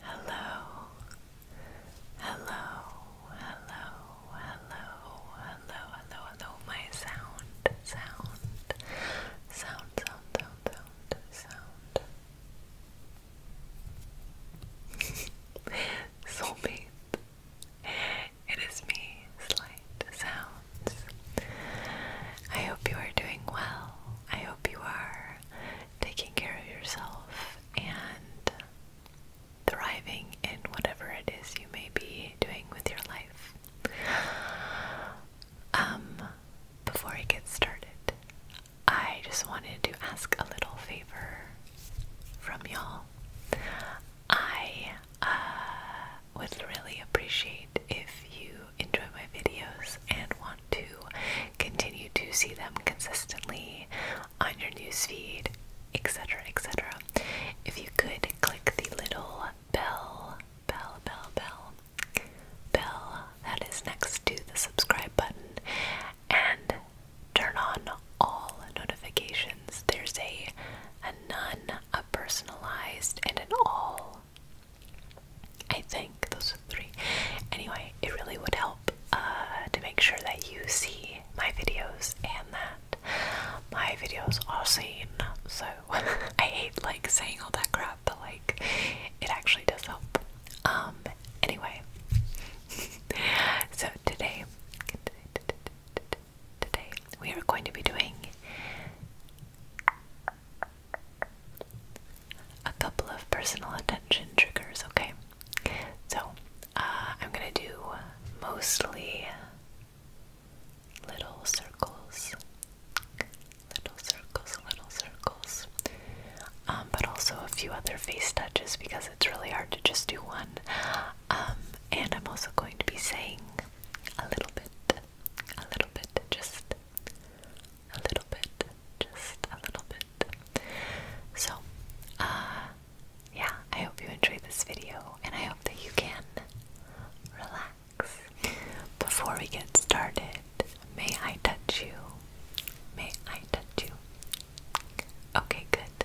Hello, hello, hello, hello, hello, hello, hello, my sound, sound, sound, sound, sound, sound, sound. Soulmate, it is me, Slight Sounds. I hope you are doing well. I hope you are taking care of yourself and thriving in whatever it is you may be doing with your life. Um, before I get started, I just wanted to ask a little favor from y'all. I uh, would really appreciate if you enjoy my videos and want to continue to see them consistently on your newsfeed, etc., etc. If you could click the little bell, bell, bell, bell, bell that is next to the subscribe button and turn on all notifications. There's a, a none, a personalized, and an all I think those are three. Anyway, it really would help uh, to make sure that you see my videos and that my videos are seen. So I hate like saying all that crap, but like it actually does help. Um. Anyway, so today, today we are going to be doing a couple of personal attention triggers, okay? So, uh, I'm gonna do mostly little circles, little circles, little circles, um, but also a few other face touches because it's really hard to just do one. Um, and I'm also going to be saying a little bit, a little bit, just a little bit, just a little bit. So, uh, yeah, I hope you enjoyed this video and I hope that you can relax. Before we get started, may I touch you? May I touch you? Okay, good.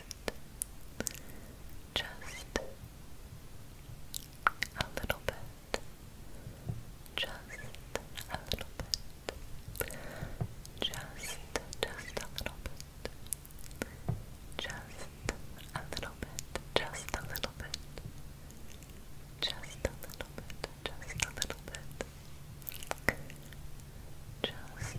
just a little bit, just a little bit, just, just a little bit, just a little bit, just a little bit, just a little bit, just a little bit, just. A little bit. Just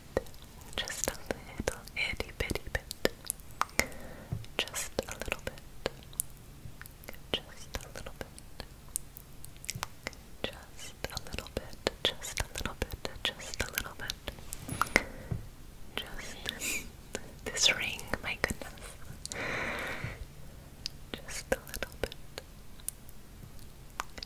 just a little itty bitty bit, just a little bit, just a little bit, just a little bit, just a little bit, just a little bit, just this ring, my goodness, just a little bit.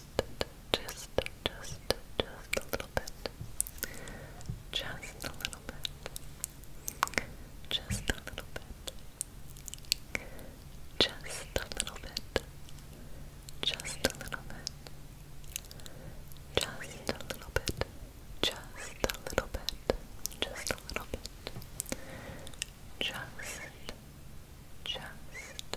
just, just, just a little bit. Just a little bit. Just a little bit. Just a little bit. Just a little bit. Just a little bit. Just a little bit. Just just,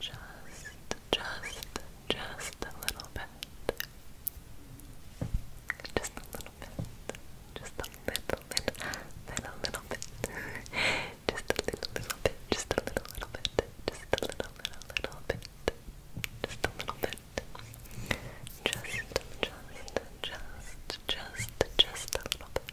just, just, just a little bit. Just a little bit. Just a little, little, little, little bit. Just a little, little bit. Just a little, little bit. Just a little, little, little bit. Just a little bit. Just, just, just, just, just a little bit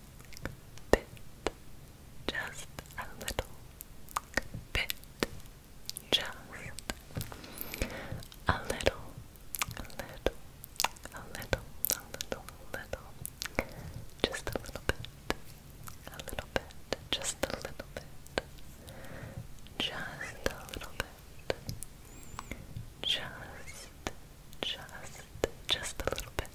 bit, just a little bit, just a little, a little, a little, a little, a little, just a little bit, a little bit, just a little bit, just a little bit, just just, just a little bit, just a little bit.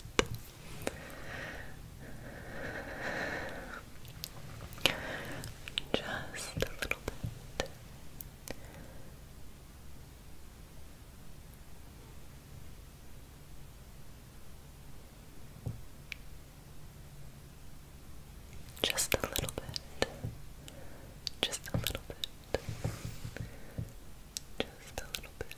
Just a little bit. Just a little bit. Just a little bit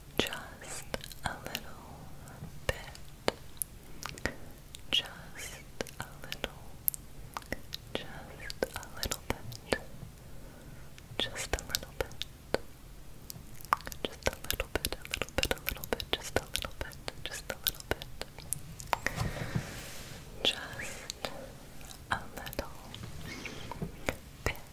just a little bit, just a little, just a little bit, just a little bit, just a little bit, a little bit, a little bit, just a little bit, just a little bit, just a little bit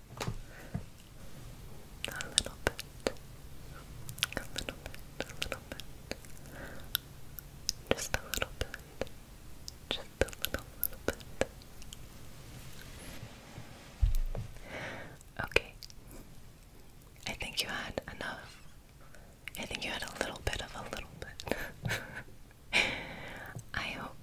A little bit. A little bit. A little bit. Just a little bit. Just a little, little bit. Okay. I think you had enough. I think you had a little bit of a little bit. I hope